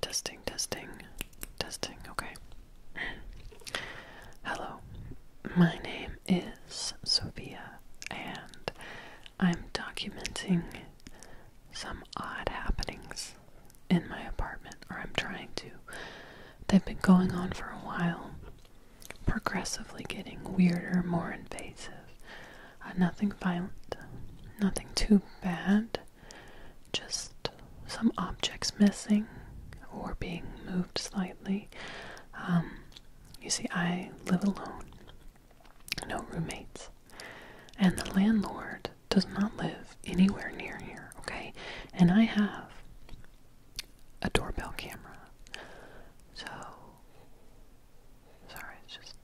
Testing, testing, testing, okay. Hello, my name is Sophia, and I'm documenting some odd happenings in my apartment, or I'm trying to. They've been going on for a while, progressively getting weirder, more invasive. Uh, nothing violent, nothing too bad, just some objects missing or being moved slightly. Um, you see, I live alone, no roommates and the landlord does not live anywhere near here, okay? And I have a doorbell camera. So, sorry, it's just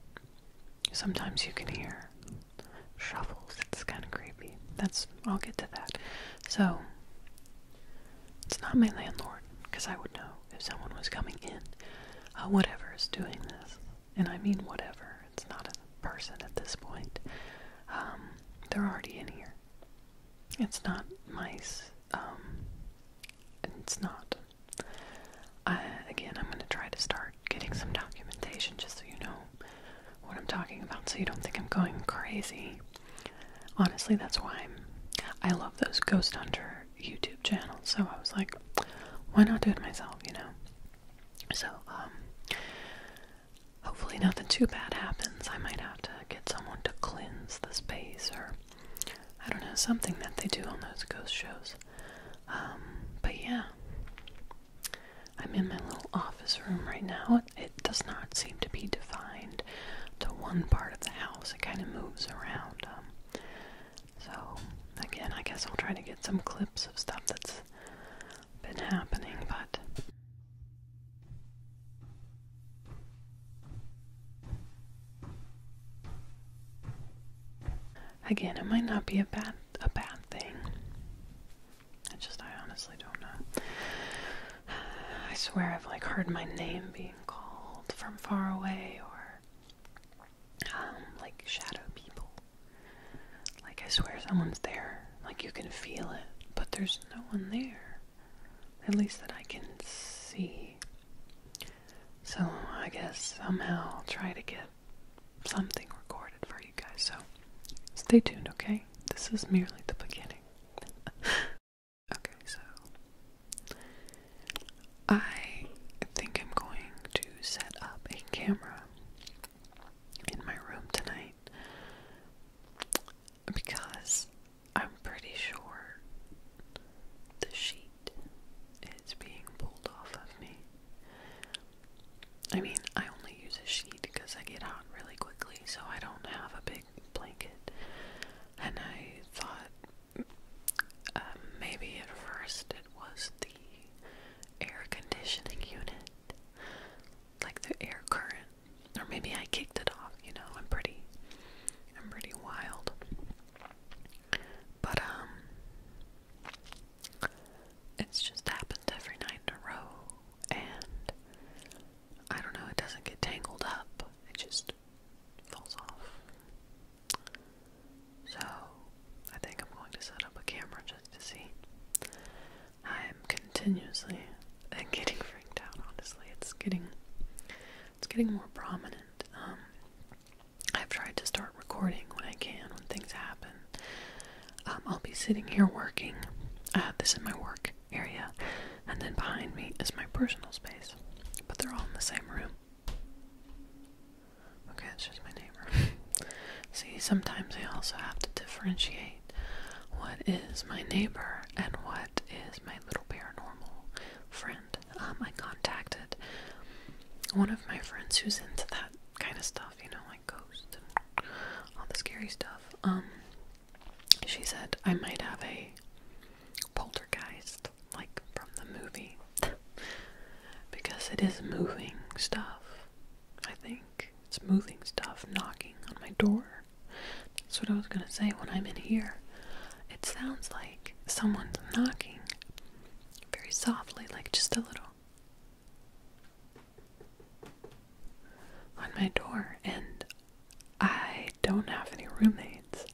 sometimes you can hear shuffles. It's kind of creepy. That's, I'll get to that. So, it's not my landlord, because I would know if someone was coming in. Uh, whatever is doing this, and I mean whatever. It's not a person at this point. Um, they're already in here. It's not mice. Um, it's not. again, I'm going to try to start getting some documentation just so you know what I'm talking about, so you don't think I'm going crazy. Honestly, that's why I love those Ghost Hunter YouTube channels, so I was like, why not do it myself, you know? So, um, hopefully nothing too bad happens. I might have to get someone to cleanse the space or I don't know, something that they do on those ghost shows. Um, but yeah. I'm in my little office room right now. It does not seem to be defined to one part of the house. It kind of moves around. Um, so, again, I guess I'll try to get some clips of stuff that's been happening, but. Again, it might not be a bad a bad thing. I just I honestly don't know. I swear I've like heard my name being called from far away or um, like shadow people like, I swear someone's there. Like, you can feel it, but there's no one there. At least that I can see. So, I guess somehow I'll try to get something recorded for you guys. So, stay tuned, okay? This is merely the beginning. okay, so I think I'm going to set up a camera in my room tonight because I'm pretty sure the sheet is being pulled off of me. I mean, I only use a sheet because I get hot really quickly, so I don't have a big blanket. And I thought uh, maybe at first it was the air conditioning unit, like the air current, or maybe I kicked it off. You know, I'm pretty, I'm pretty wild. But um, it's just happened every night in a row, and I don't know. It doesn't get tangled up. It just falls off. So, I think I'm going to set up a camera just to see. I'm continuously getting freaked out, honestly. It's getting it's getting more prominent. Um, I've tried to start recording when I can, when things happen. Um, I'll be sitting here working. I uh, have this in my work area, and then behind me is my personal space. But they're all in the same room. Okay, it's just my neighbor. See, sometimes I also have to differentiate what is my neighbor and what is my little paranormal friend. Um, I contacted one of my friends who's into that kind of stuff, you know, like ghosts and all the scary stuff. Um, she said I might have a poltergeist, like from the movie, because it is moving stuff. I think it's moving stuff knocking on my door. That's what I was gonna say when I'm in here. It sounds like someone's knocking very softly, like just a little on my door, and I don't have any roommates.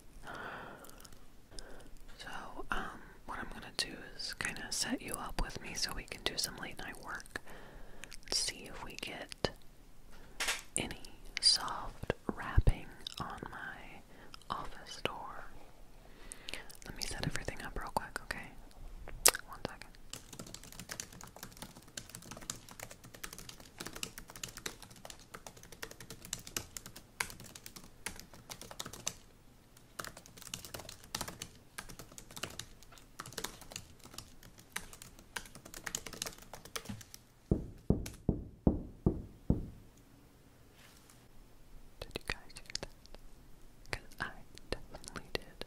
So, um, what I'm gonna do is kind of set you up with me so we can do some late night work. see if we get any soft wrapping on my office door. Let me set everything up real quick, okay? One second. Did you guys hear that? Because I definitely did.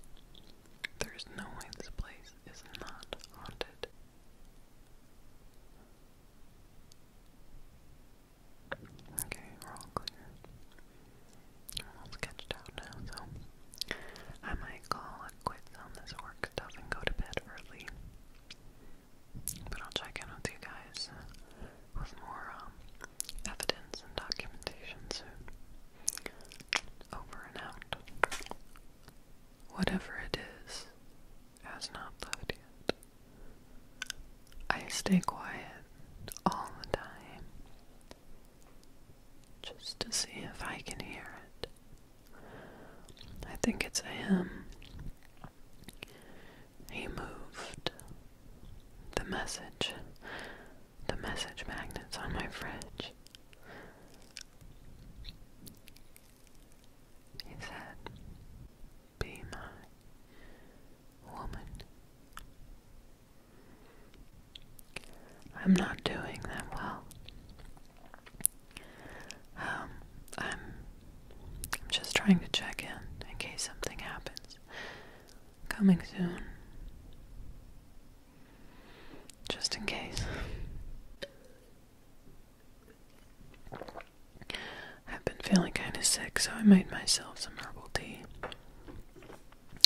There's no way this place is not haunted. Okay, we're all clear. We're all sketched out now, so I might call it quits on this work stuff and go to bed early. But I'll check in with you guys uh, with more um, evidence and documentation soon. Over and out. Whatever it is, has not left yet. I stay quiet all the time just to see if I can hear it. I think it's him. He moved the message, the message magnets on my fridge. He said, Be my woman. I'm not doing that well. Um, I'm, I'm just trying to check in in case something happens. Coming soon. Just in case. I've been feeling kind of sick, so I made myself some herbal tea.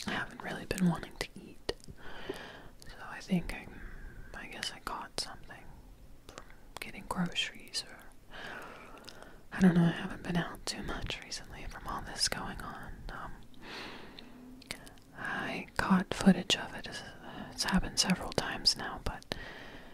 I haven't really been wanting to eat, so I think I, I guess I caught something from getting groceries or. I don't know, I haven't been out too much recently from all this going on. Um, I caught footage of it. It's happened several times now, but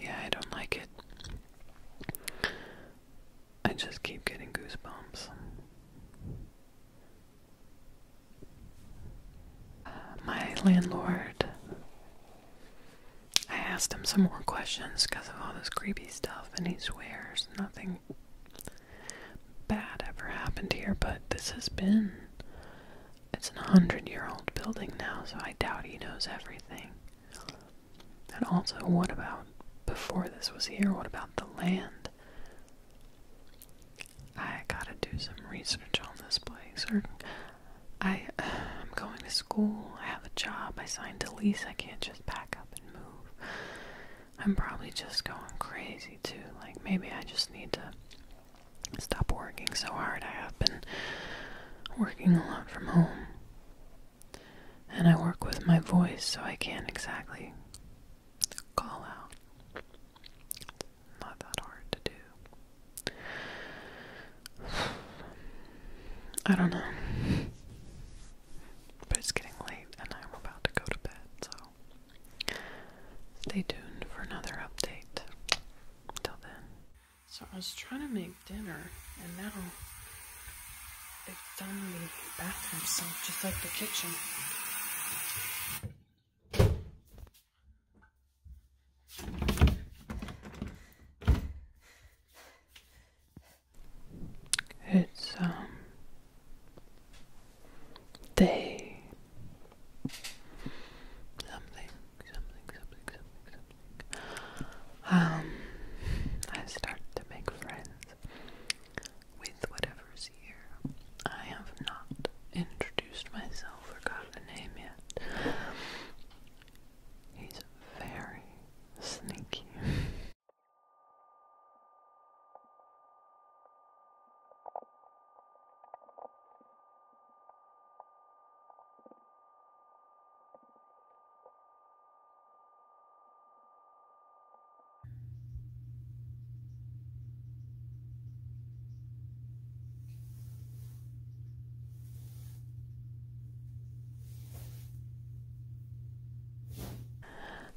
Yeah, I don't like it. I just keep getting goosebumps. Uh, my landlord. I asked him some more questions because of all this creepy stuff, and he swears nothing bad ever happened here, but this has been it's an hundred year old building now, so I doubt he knows everything. And also, what about before this was here? What about the land? I gotta do some research on this place. Or I, I'm going to school. I have a job. I signed a lease. I can't just pack up and move. I'm probably just going crazy too. Like maybe I just need to stop working so hard. I have been working a lot from home. And I work with my voice, so I can't exactly call out. It's not that hard to do. I don't know. But it's getting late, and I'm about to go to bed, so stay tuned for another update. So I was trying to make dinner, and now they've done the bathroom sink just like the kitchen. It's um they Something, something, something, something, something. Um, I start to make friends with whatever's here. I have not introduced myself or gotten a name yet. He's very sneaky.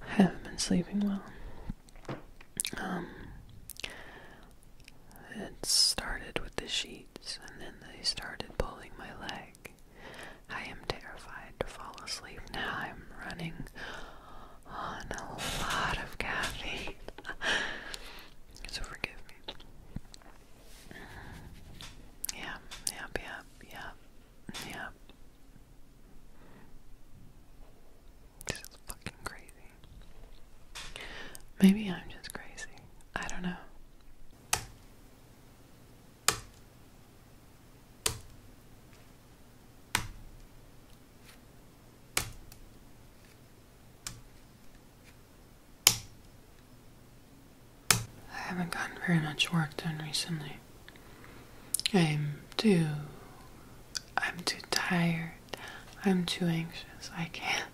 I haven't been sleeping well. Um, it started with the sheets, and then they started pulling my leg. I am terrified to fall asleep now. I'm running on a lot of caffeine. so forgive me. Yeah, yep, yep, yep, yep. This is fucking crazy. Maybe I'm just crazy. I don't know. I haven't gotten very much work done recently. I'm too I'm too tired. I'm too anxious. I can't.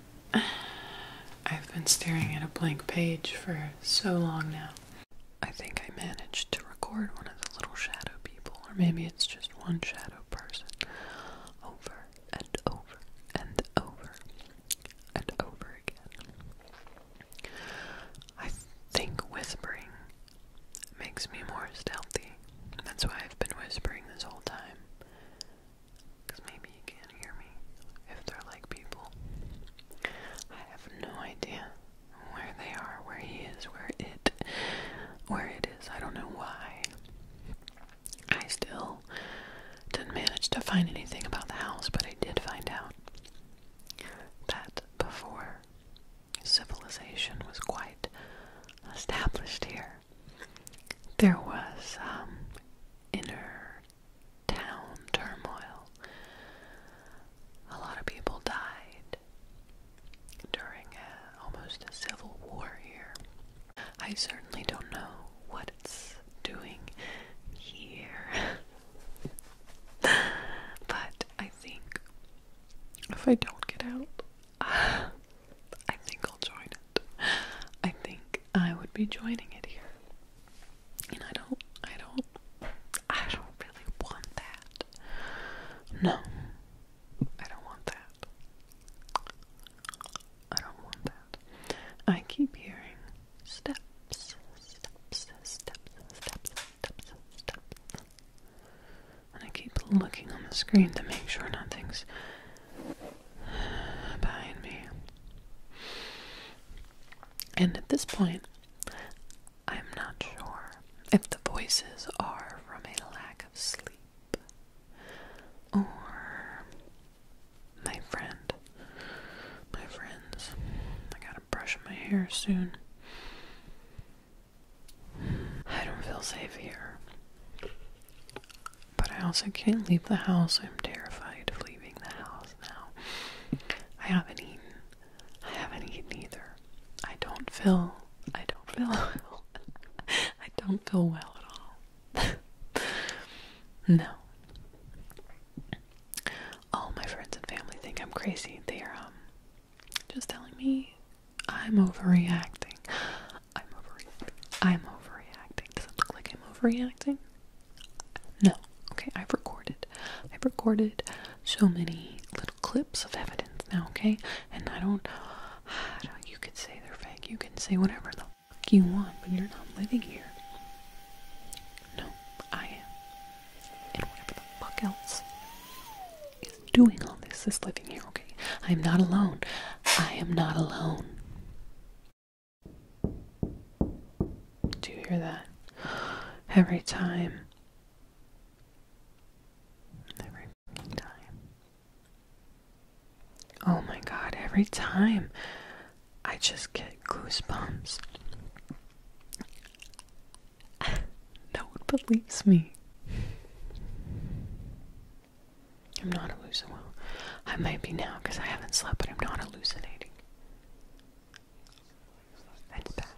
I've been staring at a blank page for so long now. I think I managed to record one of the little shadow people, or maybe it's just one shadow person, over and over and over and over again. I think whispering makes me more stealthy. That's why I've been whispering this whole time. Because maybe you can't hear me if they're like people. I have no idea where they are, where he is, where it, where it is. I don't know why. I still didn't manage to find anything about the house, but I did find out that before civilization was quite established here. There was um, inner town turmoil. A lot of people died during almost a civil war here. I certainly don't know what it's doing here. but I think if I don't get out, uh, I think I'll join it. I think I would be joining it here. And I don't, I don't, I don't really want that. No, I don't want that. I don't want that. I keep hearing steps, steps, steps, steps, steps, steps, steps, and I keep looking on the screen to make sure nothing's behind me. And at this point, I'm not sure if the voices are from a lack of sleep or my friend. My friends. I gotta brush my hair soon. I don't feel safe here. But I also can't leave the house. I'm terrified of leaving the house now. I haven't eaten. I haven't eaten either. I don't feel. I don't feel well. I don't feel well at all. no. All my friends and family think I'm crazy. They are um just telling me I'm overreacting. I'm overreacting. I'm overreacting. Does it look like I'm overreacting? No. Okay, I've recorded. I've recorded so many little clips of evidence now, okay? And I don't, you could say they're fake. You can say whatever the fuck you want, but you're not living here. No, I am. And whatever the fuck else doing all this, this living here, okay? I am not alone. I am not alone. Do you hear that? Every time. Every time. Oh my god, every time I just get goosebumps. no one believes me. I'm not hallucinating. I might be now because I haven't slept, but I'm not hallucinating. It's back.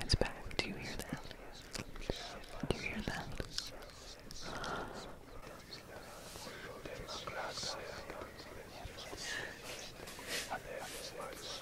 It's back. Do you hear that? Do you hear that?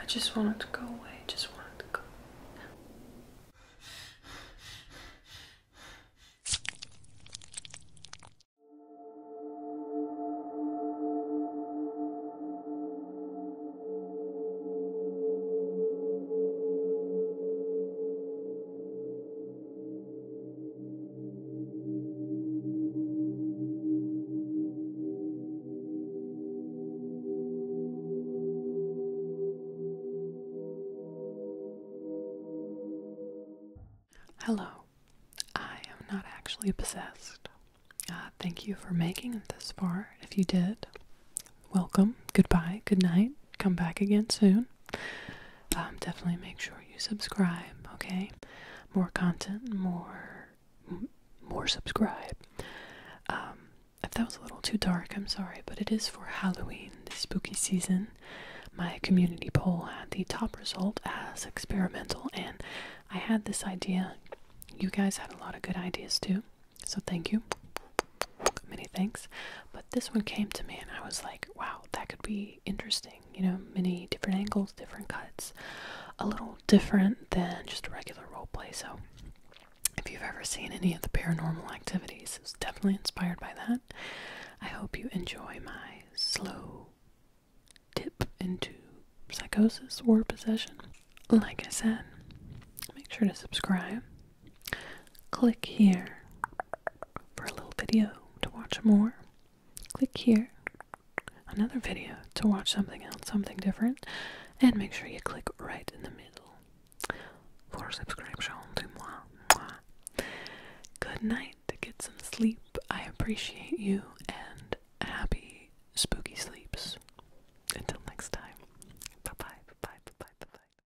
I just wanted to go away, just wanted to go. Hello. I am not actually possessed. Uh, thank you for making it this far. If you did, welcome, goodbye, good night come back again soon. Um, definitely make sure you subscribe, okay? More content, more, more subscribe. Um, if that was a little too dark, I'm sorry, but it is for Halloween, the spooky season. My community poll had the top result as experimental, and I had this idea. You guys had a lot of good ideas too, so thank you many thanks. But this one came to me and I was like, wow, that could be interesting. You know, many different angles, different cuts, a little different than just a regular role play. So if you've ever seen any of the paranormal activities, it's definitely inspired by that. I hope you enjoy my slow dip into psychosis or possession. Like I said, make sure to subscribe. Click here for a little video to watch more. Click here, another video to watch something else, something different, and make sure you click right in the middle for subscription to moi. moi. Good night, to get some sleep. I appreciate you and happy spooky sleeps. Until next time, bye, bye bye, bye bye. bye.